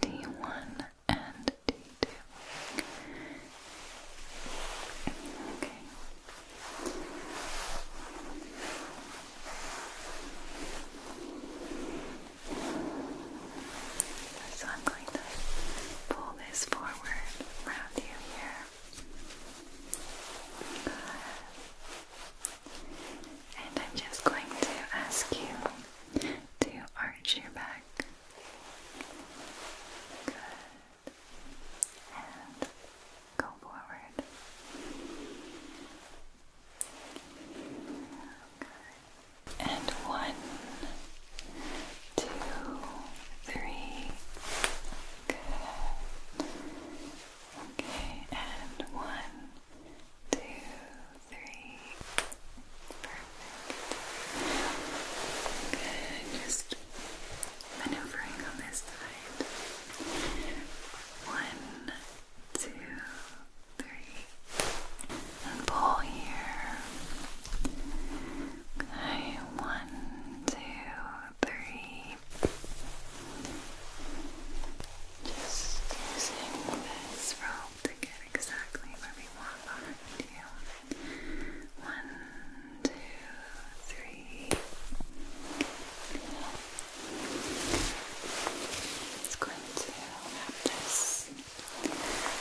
D1 and D2. Okay. So I'm going to pull this forward around you here. And I'm just going to ask you to arch your back. Good. And go forward. Good. And one, two, three, Good. Okay, and one, two, three. Perfect. Good. Just maneuvering on this side. One, two, three. And pull here. Okay, one, two, three. Just using this rope to get exactly where we want our two, three. It's going to wrap this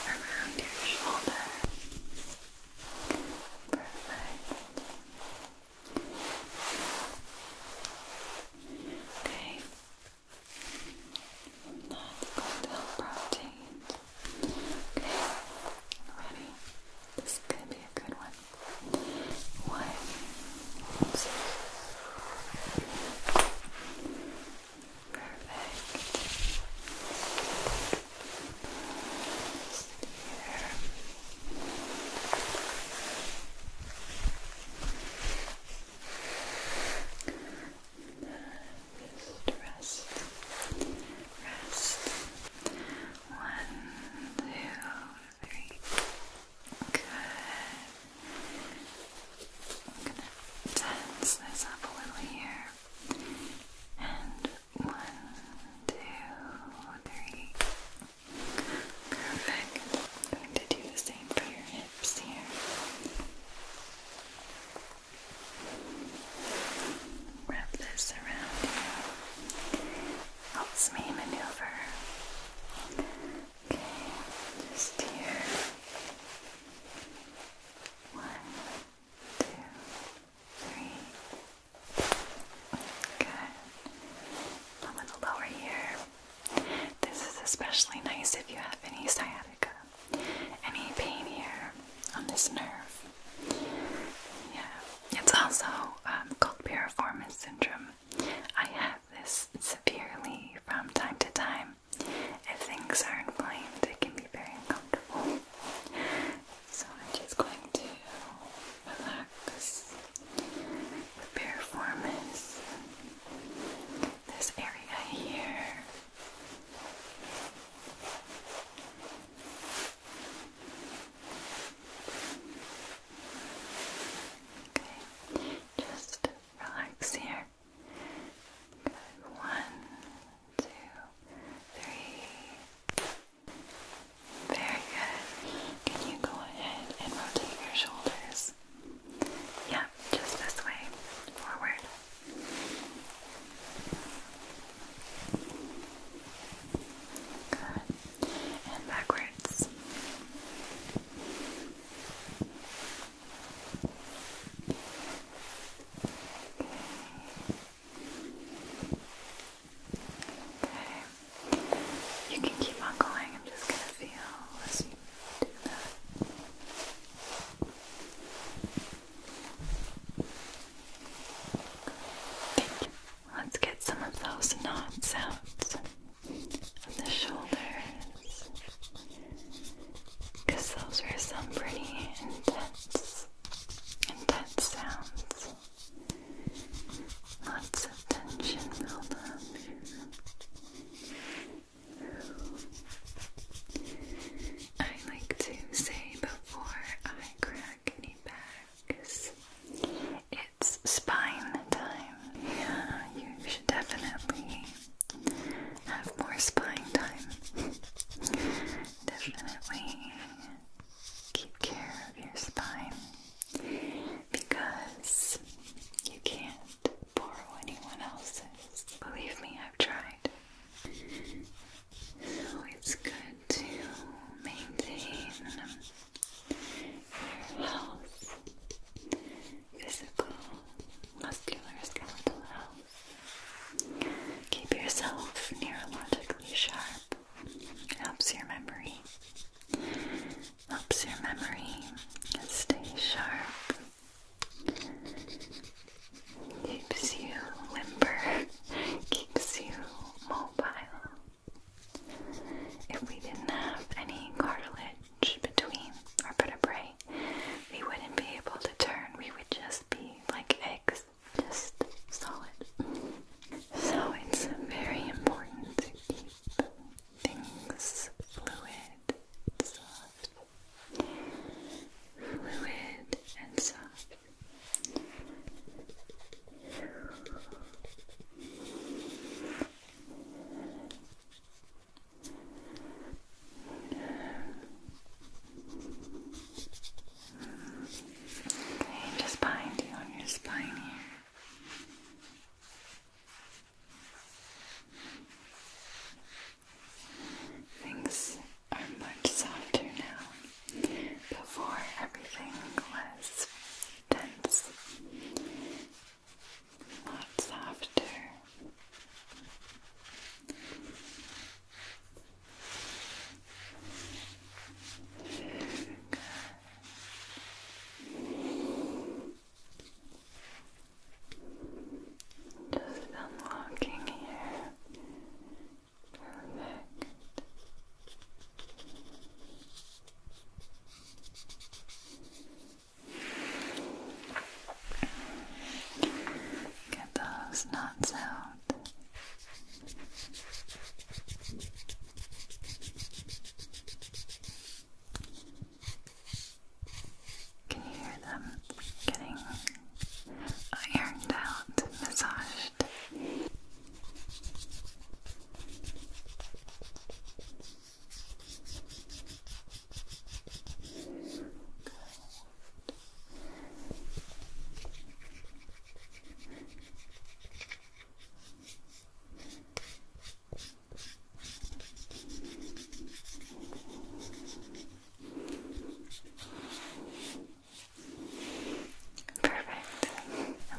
around your shoulder. Perfect. Okay. That's going to help rotate. Okay. Ready? This is going to be a good one. One. Oops. Perfect. Just rest, rest. One, two, three. Good. I'm gonna tense this up a here and one, two, three. Perfect. going to do the same for your hips here. Wrap this around you. maneuver. Okay, just here. One, two, three. Good. A little lower here. This is especially nice if you have any sciatica, any pain here on this nerve. Yeah, it's also um, called piriformis syndrome. I have this severely from time to time. If things are inflamed, it can be very uncomfortable. So I'm just going to relax relax, this area here. Okay, just relax here. Good. One, two, three. Very good. Can you go ahead and rotate your shoulders? Yeah, just this way. Forward. Good. And backwards. Okay. You can keep on going. I'm just going to feel as you do that. Let's get some of those knots out of the shoulders because those were some pretty intense, intense sounds. Lots of tension build I like to say before I crack any backs, it's spine time. Yeah, you should definitely have more spine time. definitely keep care of your spine because you can't borrow anyone else's. Believe me, I've tried. So it's good to maintain your health, physical, muscular, skeletal health. Keep yourself neurologically sharp Helps your memory. Helps your memory stay sharp. Keeps you limber. Keeps you mobile. If we didn't have any cartilage between our vertebrae, we wouldn't be able to turn. We would just be like eggs just solid. So it's very important to keep things fluid soft. Fluid and soft just behind you on your spine here. Things are much softer now. Before everything was tense. A softer. Good. Just unlocking here. Perfect. Get those knots out. Can you hear them getting ironed out, massaged? Perfect.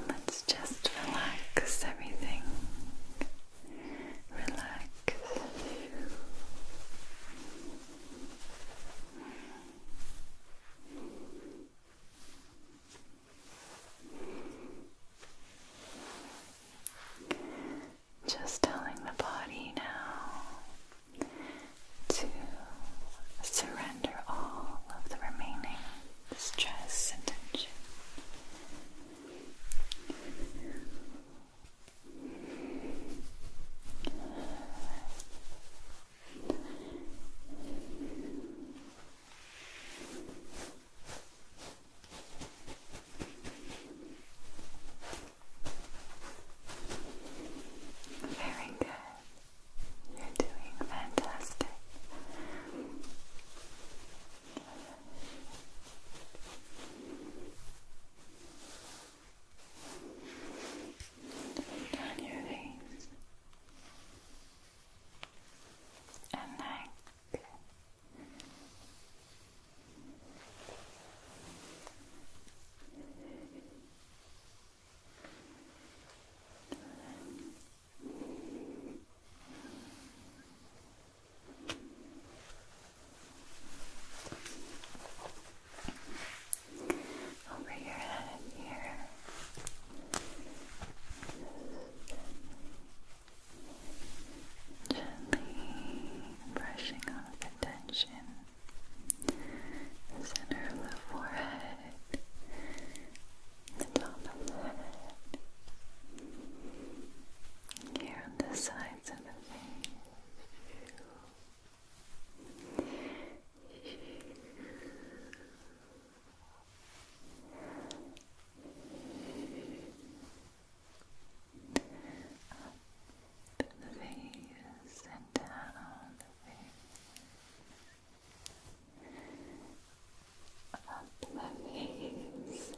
let's just relax everything. Relax. Just telling the body now to surrender all of the remaining stress and tension. Very good. You're doing fantastic. Down your face and neck. Over your head here. Gently brushing off the center of the forehead, the top of the head, here on the sides of the face. Up the face and down the face. Up the face and down the face.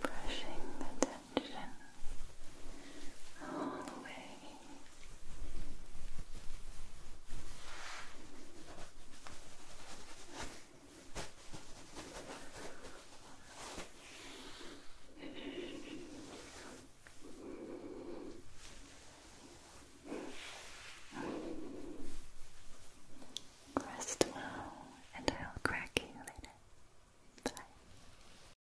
Brushing the attention Rest well, and I'll crack you later. Bye.